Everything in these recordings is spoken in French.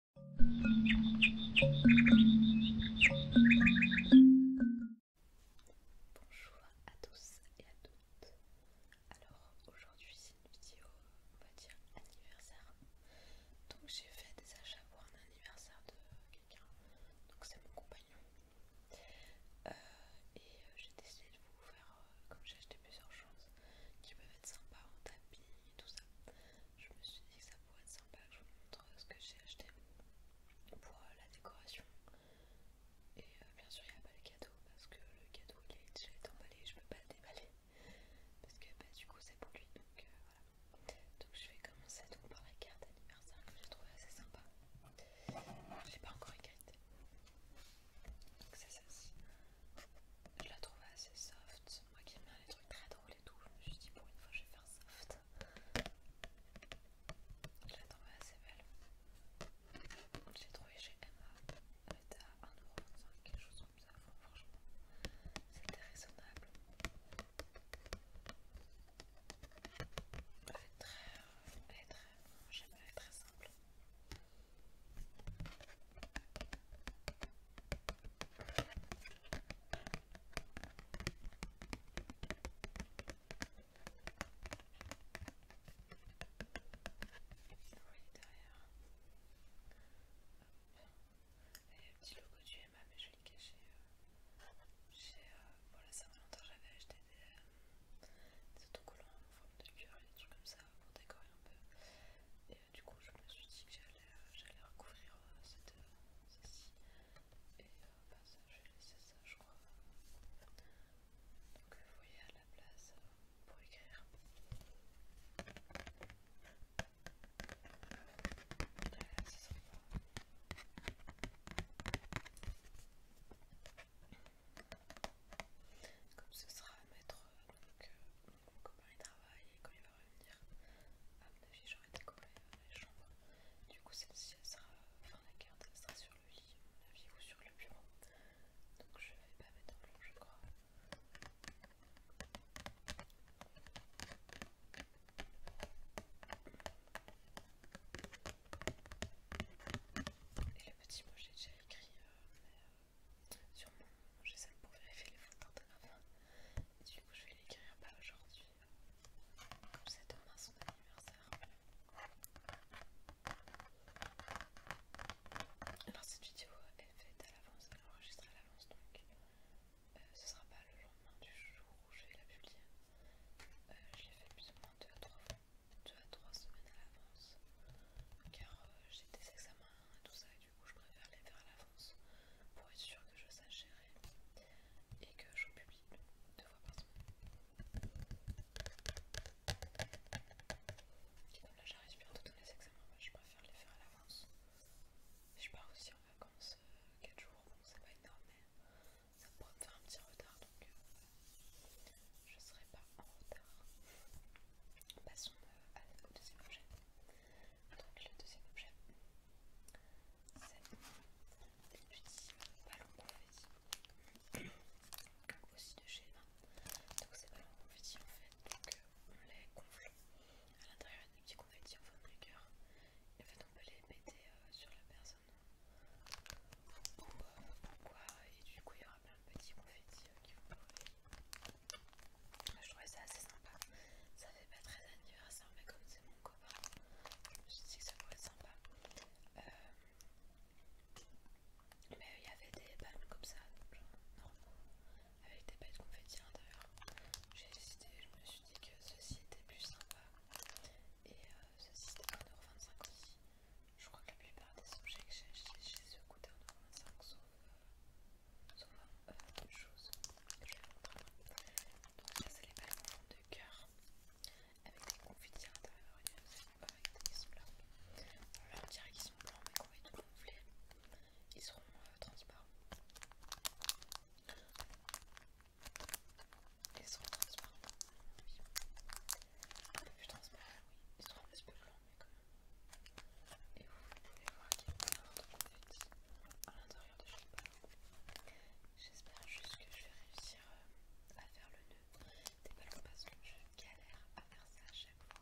Bonjour à tous et à toutes. Alors aujourd'hui c'est une vidéo, on va dire anniversaire. Donc j'ai fait des achats pour un anniversaire de quelqu'un. Donc c'est mon compagnon. Euh, et euh, j'ai décidé de vous faire, euh, comme j'ai acheté plusieurs choses qui peuvent être sympas en tapis et tout ça je me suis dit que ça pourrait être sympa que je vous montre ce que j'ai acheté pour euh, la décoration. Et euh, bien sûr, il n'y a pas le cadeau parce que le cadeau il est déjà été emballé, je peux pas le déballer parce que bah, du coup c'est pour lui donc euh, voilà. Donc je vais commencer par la carte d'anniversaire que j'ai trouvé assez sympa. Je ne l'ai pas encore écrite. C'est ça Je la trouve assez soft, moi qui aime bien les trucs très drôles tout. Je me suis dit, pour une fois, je vais faire soft. Je la trouvée assez belle. j'ai trouvé chez Emma. Elle était à 1,25€, quelque chose comme ça. franchement, c'était raisonnable. très. très. J'aime, elle très simple derrière. Il y a un petit logo euh, du MA mais je l'ai caché cacher. chez, voilà, ça fait longtemps j'avais acheté euh, des, autocollants en forme de cœur et des trucs comme ça pour décorer un peu du coup je me suis dit que j'allais euh, recouvrir euh, cette, euh, ceci et bah, je vais laisser ça je crois donc vous voyez à la place pour écrire comme ce sera à mettre donc, comment il travaille et quand il va revenir, à mon avis j'aurai décoré les chambres Du coup celle-ci elle sera, enfin la carte elle sera sur le lit ou sur le bureau. Donc je vais pas mettre en je crois. Et le petit mot j'ai déjà écrit mais, euh, sur mon j'essaie pour vérifier les fautes d'orthographe. Du coup, je vais l'écrire pas bah, aujourd'hui. Comme c'est demain son anniversaire. Alors, cette vidéo est faite à l'avance, elle est enregistrée à l'avance donc ce euh, ce sera pas le lendemain du jour où je vais la publier. Euh, je l'ai fait plus ou moins 2 à 3 à 3 semaines à l'avance car euh, j'ai des examens et tout ça du coup je préfère les faire à l'avance pour être sûre que je sache gérer et que je publie deux fois par semaine. Et là j'arrive bientôt tous les examens, bah, je préfère les faire à l'avance. je pars aussi en vacances 4 euh, jours, bon c'est pas énorme mais ça pourrait me faire un petit retard donc je euh, je serai pas en retard. Passons euh, au deuxième objet. Donc le deuxième objet, c'est des petits ballons confettis, aussi de chez Emma. Donc ces ballons confetti en fait, donc euh, on les gonfle à l'intérieur des petits confettis en forme de cœur. Et en fait on peut les péter euh, sur la personne ou, euh, quoi, et du coup il y aura plein de petits confetti qui vont je trouvais ça assez sympa. Ça fait pas très anniversaire, mais comme c'est mon copain, je me suis dit que ça pourrait être sympa. Euh, mais il y avait des palmes comme ça, genre avec des pailles de confetti à l'intérieur. J'ai décidé je me suis dit que ceci était plus sympa. Et euh, ceci c'était 1,25€ aussi. Je crois que la plupart des objets que j'ai achetés chez eux coûtaient 1,25€ sur euh, choses que je vais vous montrer. Donc, là, c'est les balles de cœur avec des confettis à l'intérieur. ils sont là. on là, dirait qu'ils sont blancs, mais quand ils sont gonflés, ils seront euh, transparents. Ils seront transparents. Un peu plus transparents, oui. Ils seront un petit peu blancs, mais quand même. Et vous pouvez voir qu'il y a plein de confettis à l'intérieur de chaque pas. J'espère juste que je vais réussir euh, à faire le nœud des ballons parce que je galère à faire ça à chaque fois.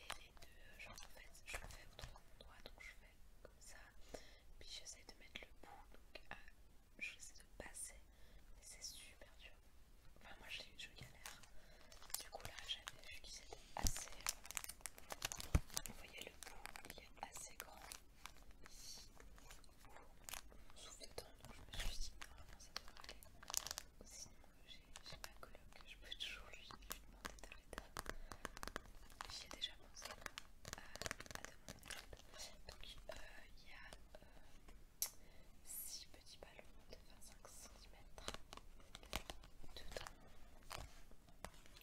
Les, les deux genre en fait, je le fais de mon doigt donc je fais comme ça, puis j'essaie de mettre le bout donc à, euh, j'essaie de passer, mais c'est super dur. Enfin, moi je, galère. Du coup, là j'avais utilisé assez. Vous voyez le bout, il est assez grand. Ici, on souffle dedans, donc je me suis dit, normalement ah, ça devrait aller. Sinon, euh, j'ai ma coloc, je peux toujours lui, demander demander l'aide J'y ai déjà pensé euh, à, de l'aide Donc, euh, il y a. Euh, 6 petits ballons de 25 cm dedans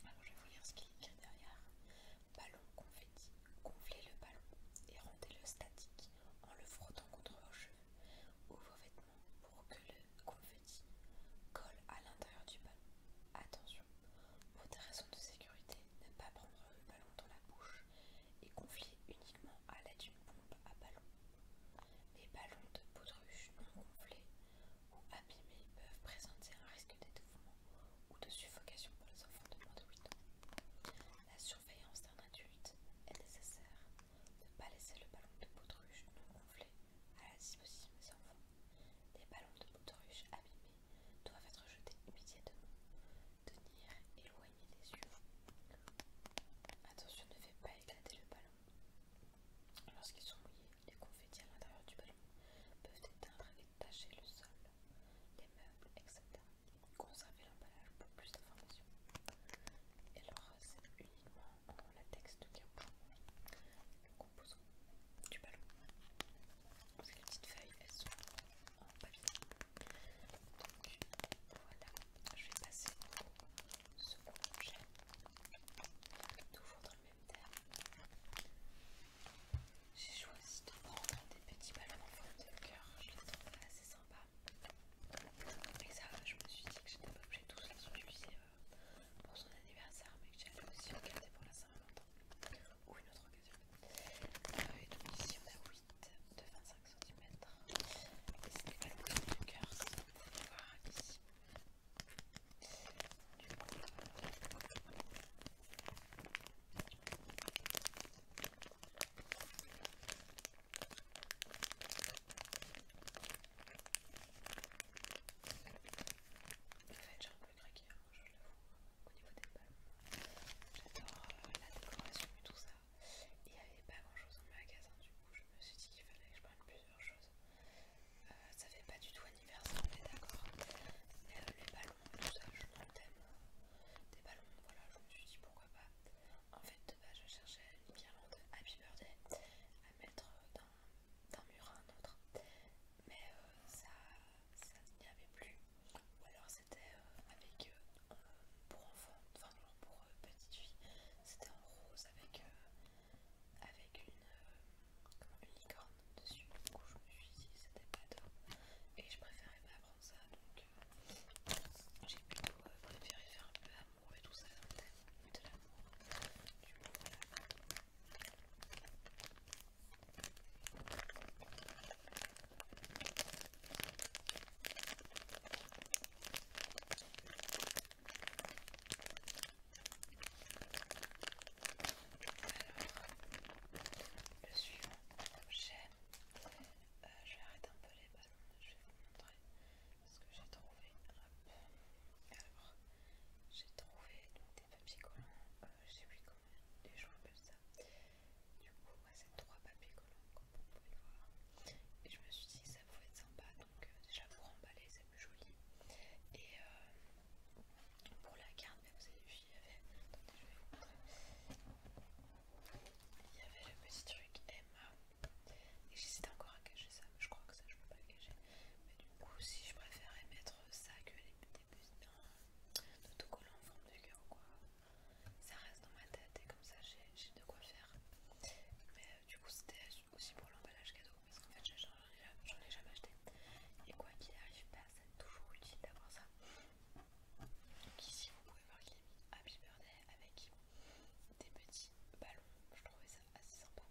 alors je vais vous lire ce qu'il y a derrière. Ballon confetti. Gonflez le ballon et rendez-le statique en le frottant contre vos cheveux ou vos vêtements pour que le confetti colle à l'intérieur du ballon. Attention, pour des raisons de sécurité, ne pas prendre le ballon dans la bouche et gonflez uniquement à l'aide d'une pompe à ballon. Les ballons de poudruche non gonflés ou abîmés peuvent présenter un risque d'étouffement ou de suffocation pour les enfants de moins de 8 ans. La surveillance d'un adulte est nécessaire. Ne pas laisser le ballon de baudruche non gonflé à la disposition des enfants. Les ballons de baudruche abîmés doivent être jetés immédiatement. Tenir éloigné des yeux. Attention, ne faites pas éclater le ballon. Lorsqu'ils sont mouillés, les confettis à l'intérieur du ballon peuvent éteindre et tacher le sol, les meubles, etc. Conservez l'emballage pour plus d'informations. Et alors, c'est uniquement en latex de ballon, le composant du ballon. Parce que les petites feuilles, elles sont en papier. Donc voilà, je vais passer au second objet. Toujours dans le même j'ai choisi de prendre des petits ballons en forme de cœur, je les trouve assez sympas. mais ça, je me suis dit que j'étais pas obligée de tous les utiliser euh, pour son anniversaire, mais que j'allais aussi le garder pour la Saint-Valentin ou une autre occasion. Euh, et donc, ici on a 8 de 25 cm. Et des ballons de cœur, ici j'ai un peu craqué, je l'avoue, au niveau des pommes, J'adore euh, la décoration et tout ça. Il n'y avait pas grand chose dans le magasin, du coup, je me suis dit qu'il fallait que je prenne plusieurs choses. Euh, ça fait pas du tout anniversaire, on d'accord. Euh, les ballons, tout ça, je hein. des ballons. Voilà, je me suis dit pourquoi pas. En fait, bah, je cherchais une guirlande Happy Birthday à mettre d'un mur à un autre. Mais euh, ça, ça n'y avait plus. Ou alors c'était avec pour enfant, enfin non, pour petite fille, c'était en rose avec avec euh, une, licorne dessus. Du coup, je me suis dit c'était pas top et je préférais pas prendre ça donc euh, j'ai plutôt euh, préféré faire un peu d'amour et tout ça dans le thème de l'amour. Du coup, voilà. Alors, le suivant objet, euh, je vais arrêter un peu les ballons, je vais vous montrer ce que j'ai trouvé. Alors, j'ai trouvé des papiers collants, je euh, je sais plus comment des gens ça. Du coup, moi, c'est trois papiers collants, comme vous pouvez le voir. Et je me suis dit ça pouvait être sympa euh, déjà pour emballer c'est plus joli et euh, pour la carte vous avez vu il y avait attendez il y avait le petit truc Emma et j'hésite encore à cacher ça mais je crois que ça je peux pas cacher mais du coup si je préférais mettre ça que les petits d'autocollants en forme de cœur quoi ça reste dans ma tête et comme ça j'ai de quoi faire mais euh, du coup c'était aussi pour l'emballage cadeau parce qu'en fait j'en ai, jamais acheté et quoi qu'il arrive, ça bah, c'est toujours utile d'avoir ça. Donc ici vous pouvez voir qu'il est mis Happy Birthday avec des petits ballons, je trouvais ça assez sympa.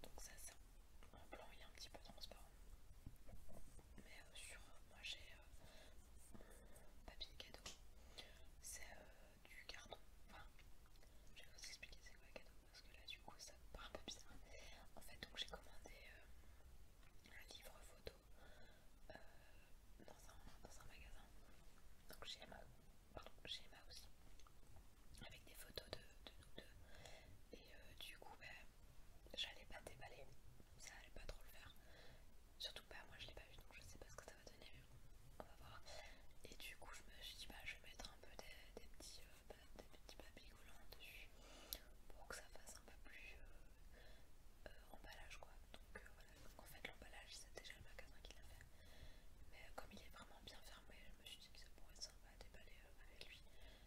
Donc ça c'est un blanc, il est un petit peu transparent. Mais euh, sur euh, moi j'ai un euh, papier cadeau, c'est du carton. Enfin, je vais vous expliquer c'est quoi le cadeau parce que là du coup ça part un peu bizarre. En fait donc j'ai commandé euh, un livre photo euh, dans, un, magasin, donc chez Emma, pardon, chez Emma aussi, avec des photos de, nous deux. Et euh, du coup ben, j'allais pas déballer, ça allait pas trop le faire. Surtout pas, ben, moi je l'ai pas vu donc je sais pas ce que ça va donner, on va voir. Et du coup je me suis dit bah je vais mettre un peu des, petits des petits papiers collants dessus pour que ça fasse un peu plus euh, euh, emballage quoi. Donc euh, voilà, donc en fait l'emballage c'est déjà le magasin qui l'a fait. Mais comme il est vraiment bien fermé, je me suis dit que ça pourrait être sympa à déballer avec lui.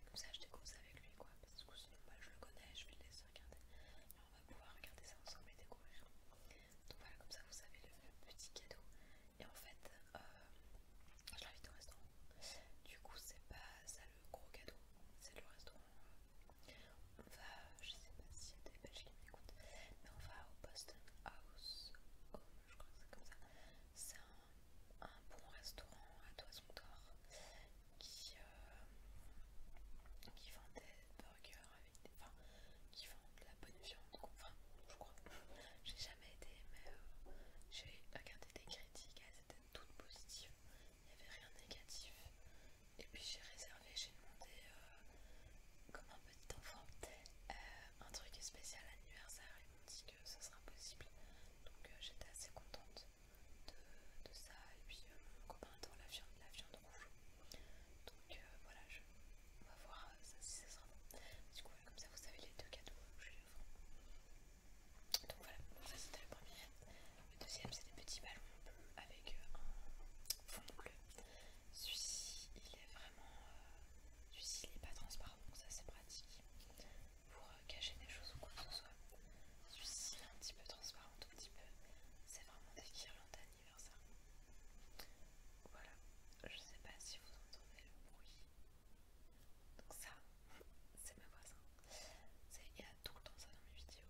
Comme ça je découvre ça avec lui quoi. Parce que sinon bah, je le connais, je vais le laisser regarder. Alors, on va pouvoir regarder ça ensemble et découvrir. Donc voilà, comme ça vous savez le petit cadeau et en fait euh, je l'invite au restaurant du coup c'est pas ça le gros cadeau c'est le restaurant on va je sais pas s'il y a des belges qui m'écoutent mais on va au Boston House oh, je crois c'est comme ça c'est un, bon restaurant à toison d'or qui, euh, qui vend des burgers avec enfin qui vend de la bonne viande enfin je crois mais euh, j'ai regardé des critiques, elles étaient toutes positives, il n'y avait rien de négatif. Et puis j'ai réservé, j'ai demandé, euh, comme un petit enfant, euh, un truc spécial anniversaire, ils m'ont dit que ce sera possible. Donc euh, j'étais assez contente de, ça. Et puis mon copain adore la viande, la viande rouge. Donc voilà, on va voir si ça sera bon. Du coup, comme ça, vous savez les deux cadeaux donc voilà, ça c'était le premier. Le deuxième c'est des petits ballons bleus avec euh, un fond bleu. Celui-ci il est vraiment... Euh, celui-ci il n'est pas transparent donc ça c'est pratique pour euh, cacher des choses ou quoi que ce soit. Celui-ci est un petit peu transparent, tout petit peu. C'est vraiment des guirlandes d'anniversaire. Voilà, je ne sais pas si vous entendez le bruit donc ça, c'est ma voisin. Il y a tout le temps ça dans mes vidéos.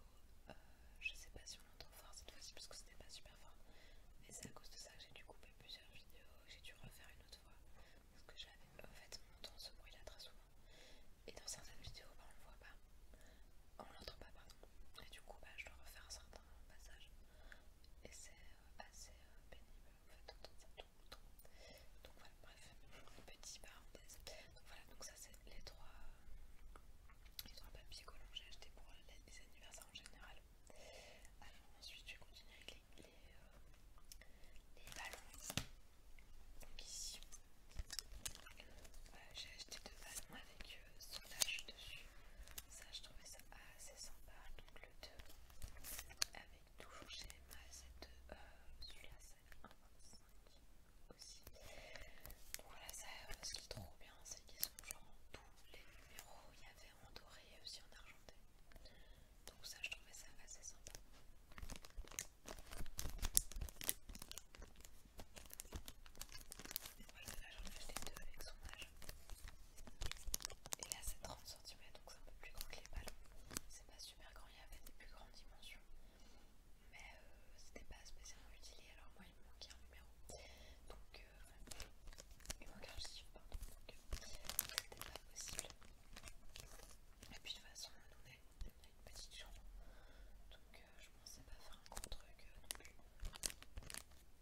Euh, je sais pas si on l'entend fort cette fois-ci parce que c'était pas super fort. Mais c'est à cause de ça que j'ai dû couper plusieurs vidéos, j'ai dû refaire une autre fois. Parce que j'avais en fait mon temps ce bruit là très souvent. Et dans certaines vidéos bah, on le voit pas. On l'entend pas pardon. Et du coup bah, je dois refaire un certain passage. Et c'est euh, assez euh, pénible ça tourne Donc voilà, bref, petit parenthèse. Donc voilà, donc ça c'est les trois, les trois papiers collants que j'ai acheté pour les, anniversaires en général. Alors ensuite je vais continuer avec les, les, ballons. Donc ici, j'ai acheté deux ballons avec euh, dessus. Ça je trouvais ça assez sympa. Donc le 2 avec toujours chez Emma cette euh, celui-là c'est 1,25 aussi donc voilà ça ce qui est trop bien c'est qu'ils sont genre tous les numéros il y avait en doré et aussi en argenté donc ça je trouvais ça assez sympa voilà là j'en ai acheté deux avec son âge et là c'est 30 donc c'est un peu plus grand que les ballons. C'est pas super grand, il y avait des plus grandes dimensions. Mais euh, c'était pas spécialement utile alors moi il me manquait un numéro. Donc euh, il manquait un chiffre, pardon, donc euh, c'était pas possible. Et puis de toute façon on est, donné une petite jambe Donc euh, je pensais pas faire un gros truc non plus.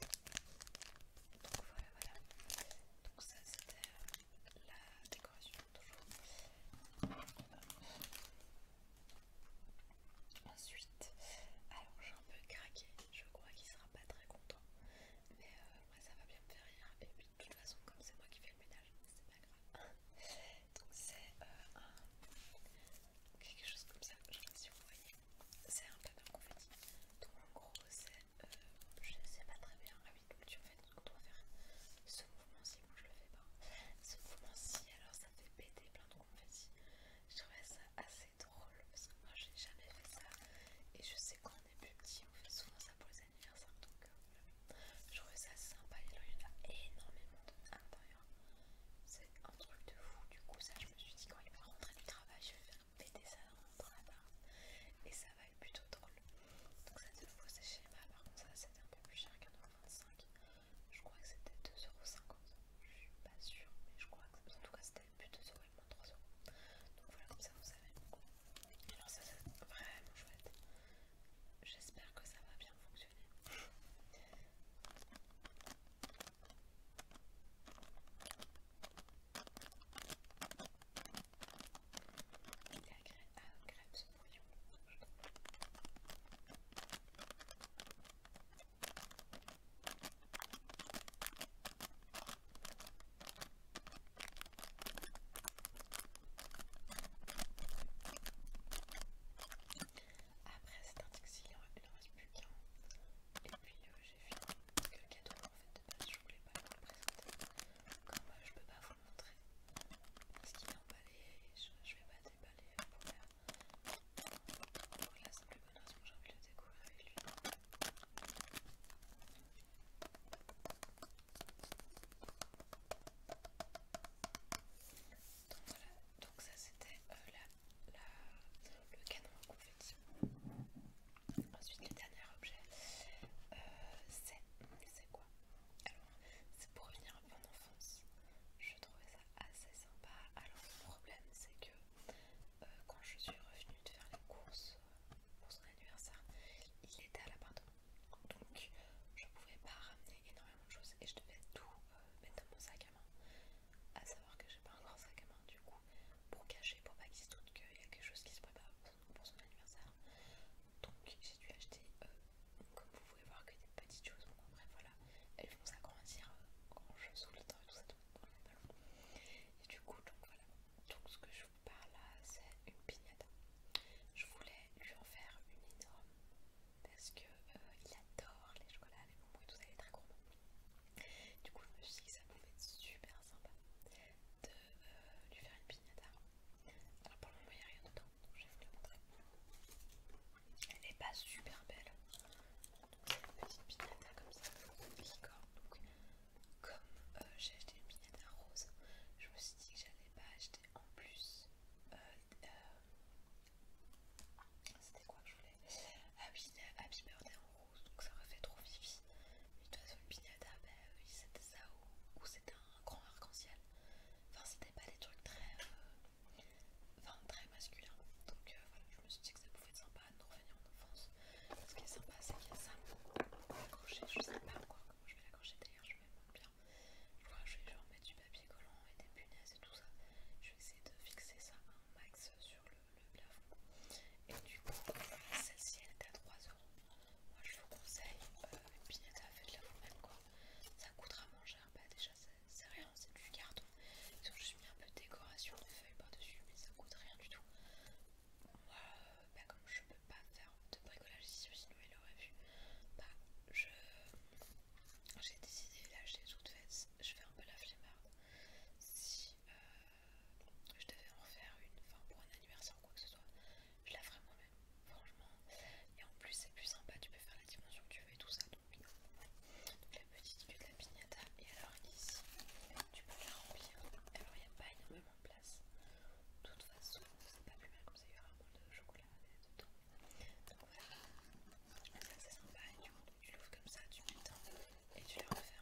Donc voilà voilà. Donc ça c'était la décoration toujours. Ensuite, alors j'ai un peu craqué, je crois qu'il sera pas très content, mais euh, ça va bien me faire rire. Et puis de toute façon, comme c'est moi qui fais le ménage, c'est pas grave. Donc c'est euh, un... quelque chose comme ça, je sais pas si vous voyez. C'est un papier confetti. Donc en gros, c'est euh, je ne sais pas très bien. Ah oui, donc tu en fait, on doit faire ce mouvement-ci. Moi, je le fais pas. Ce mouvement-ci, alors ça fait péter plein de fait. Je trouvais ça assez drôle parce que moi, j'ai jamais fait ça. Et je sais qu'on est plus petit, on fait souvent ça pour les anniversaires. Donc, euh, je trouvais ça sympa. Et il y en a énormément de C'est un truc de fou. Du coup, ça, je me suis dit, quand il va rentrer du travail, je vais faire ça et ça va être plutôt drôle. Donc ça te faut c'est schéma, par contre ça c'était un peu plus cher qu'un euro 25. Je crois que c'était 2,50€. Je suis pas sûre, mais je crois que en tout cas c'était plus 2€ et moins 3€. Donc voilà comme ça vous savez. Alors ça c'est vraiment chouette. J'espère que ça va bien fonctionner. Il est agréable ce brouillon. Après cet article, il n'en reste plus qu'un. Et puis euh, j'ai fini le cadeau en fait je voulais pas vous le présenter comme moi, euh, je peux pas vous le montrer parce qu'il est emballé et je, ne vais pas déballer pour la, pour la simple bonne raison que j'ai envie de le découvrir avec lui donc voilà, donc ça c'était euh, le canon à Ensuite, le dernier objet, euh, c'est. C'est quoi Alors, c'est pour revenir à mon enfance. Je trouvais ça assez sympa. Alors, le problème, c'est que euh, quand je suis revenue de faire les courses euh, pour son anniversaire, il était à l'appartement. Donc, je pouvais pas ramener énormément de choses et je devais tout mettre dans mon sac à main. À savoir que j'ai pas un grand sac à main, du coup, pour cacher, pour pas qu'il se doute qu'il y a quelque chose qui se prépare pour son anniversaire. Donc j'ai dû acheter, euh, comme vous pouvez voir, que des petites choses. Bon après voilà, elles vont s'agrandir quand euh, je sous le temps et tout ça, Et du coup, donc voilà. Donc ce que je vous parle là, c'est une pignette Je voulais lui en faire une énorme parce que euh, il adore les chocolats, les bonbons et tout ça, est très gourmand. Du coup je me suis dit que ça pouvait être super sympa de euh, lui faire une pignata Alors pour le moment il n'y a rien dedans, donc je vais vous la montrer. Elle n'est pas super belle. une petite pignata comme ça, licorne. Donc comme euh, j'ai acheté une piñata rose, je me suis dit que j'allais pas acheter en plus. Euh, c'était quoi que je voulais Ah oui, donc ça aurait fait trop vivi. Mais de toute façon, une piñata, bah c'était ça, ou, c'était un grand arc-en-ciel. Enfin, c'était pas des trucs très, euh, enfin, très masculins. Donc euh, voilà, je me suis dit que ça pouvait être sympa de revenir en enfance. Ce qui est sympa, c'est qu'il y a ça. Accrocher, je sais pas comment je vais l'accrocher d'ailleurs, je m'aime bien. Je je vais genre mettre du papier collant et des punaises et tout ça. Je vais essayer de fixer ça un max sur le, le plafond. Et du coup, celle-ci elle était à 3 euros. Moi je vous conseille euh, une fait faites-la vous-même quoi. Ça coûtera moins cher, bah déjà c'est rien, c'est du carton. Donc je mis un peu de décoration de feuilles par-dessus, mais ça coûte rien du tout. Euh, bah, comme je peux pas faire de bricolage ici, sinon il aurait vu. Bah, je j'ai décidé là, je tout de faites, je fais un peu la flemmarde. Si euh, je devais en faire une, enfin pour un anniversaire ou quoi que ce soit, je la ferai moi-même, franchement. Et en plus c'est plus sympa, tu peux faire la dimension que tu veux et tout ça. Donc, euh, la petite queue de la piñata. Et alors ici, tu peux la remplir. Alors il n'y a pas énormément de place. De toute façon, c'est pas plus mal comme ça, il y aura un moins de chocolat dedans. Donc voilà, c'est sympa. Et du coup, tu l'ouvres comme ça, tu mets et tu le refermes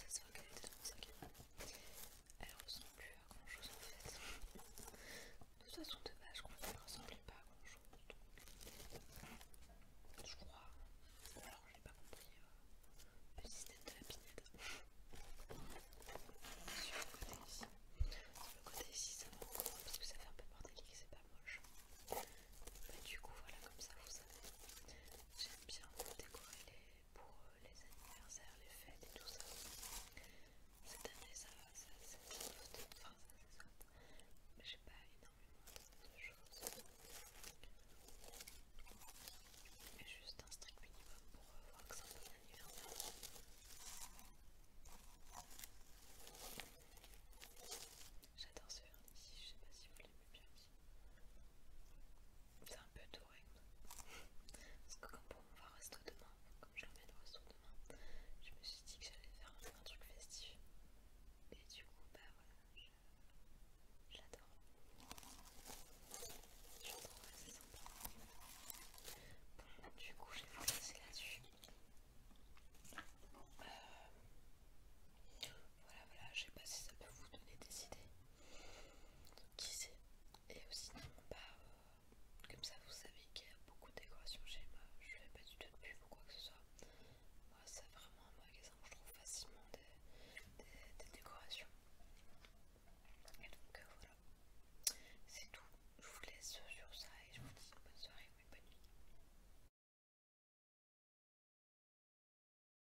ça se voit qu'elle était dans mon sac. Elle ressemble plus à grand chose en fait. De toute façon, dommage qu'on ne ressemble pas à grand chose. Je crois. Alors, je n'ai pas compris euh, le système de la pinette. Sur le côté ici. Sur le côté ici, ça va encore parce que ça fait un peu porter qui c'est pas moche. mais bah, du coup, voilà, comme ça, vous savez. J'aime bien décorer les pour euh, les anniversaires, les fêtes et tout ça. Cette année, ça va, ça c'est enfin, ça Mais j'ai pas énormément de choses. Mais juste un strict minimum pour euh, voir que ça un l'anniversaire anniversaire. J'adore ce vernis, je sais pas si vous l'aimez bien c'est un peu doré, parce que comme pour mon voir resto demain, comme je remets resto demain, je me suis dit que j'allais faire un, truc festif et du coup bah voilà, j'adore. Je trouve assez sympa. du coup je vais vous là-dessus. Euh, voilà, voilà, je sais pas si ça peut vous donner des idées qui sait et aussi pas bah, euh, comme ça vous savez qu'il y a beaucoup de décorations chez moi je fais pas du tout de pub ou quoi que ce soit moi c'est vraiment un magasin où je trouve facilement des, décorations et donc euh, voilà c'est tout je vous laisse sur ça et je vous dis bonne soirée ou bonne nuit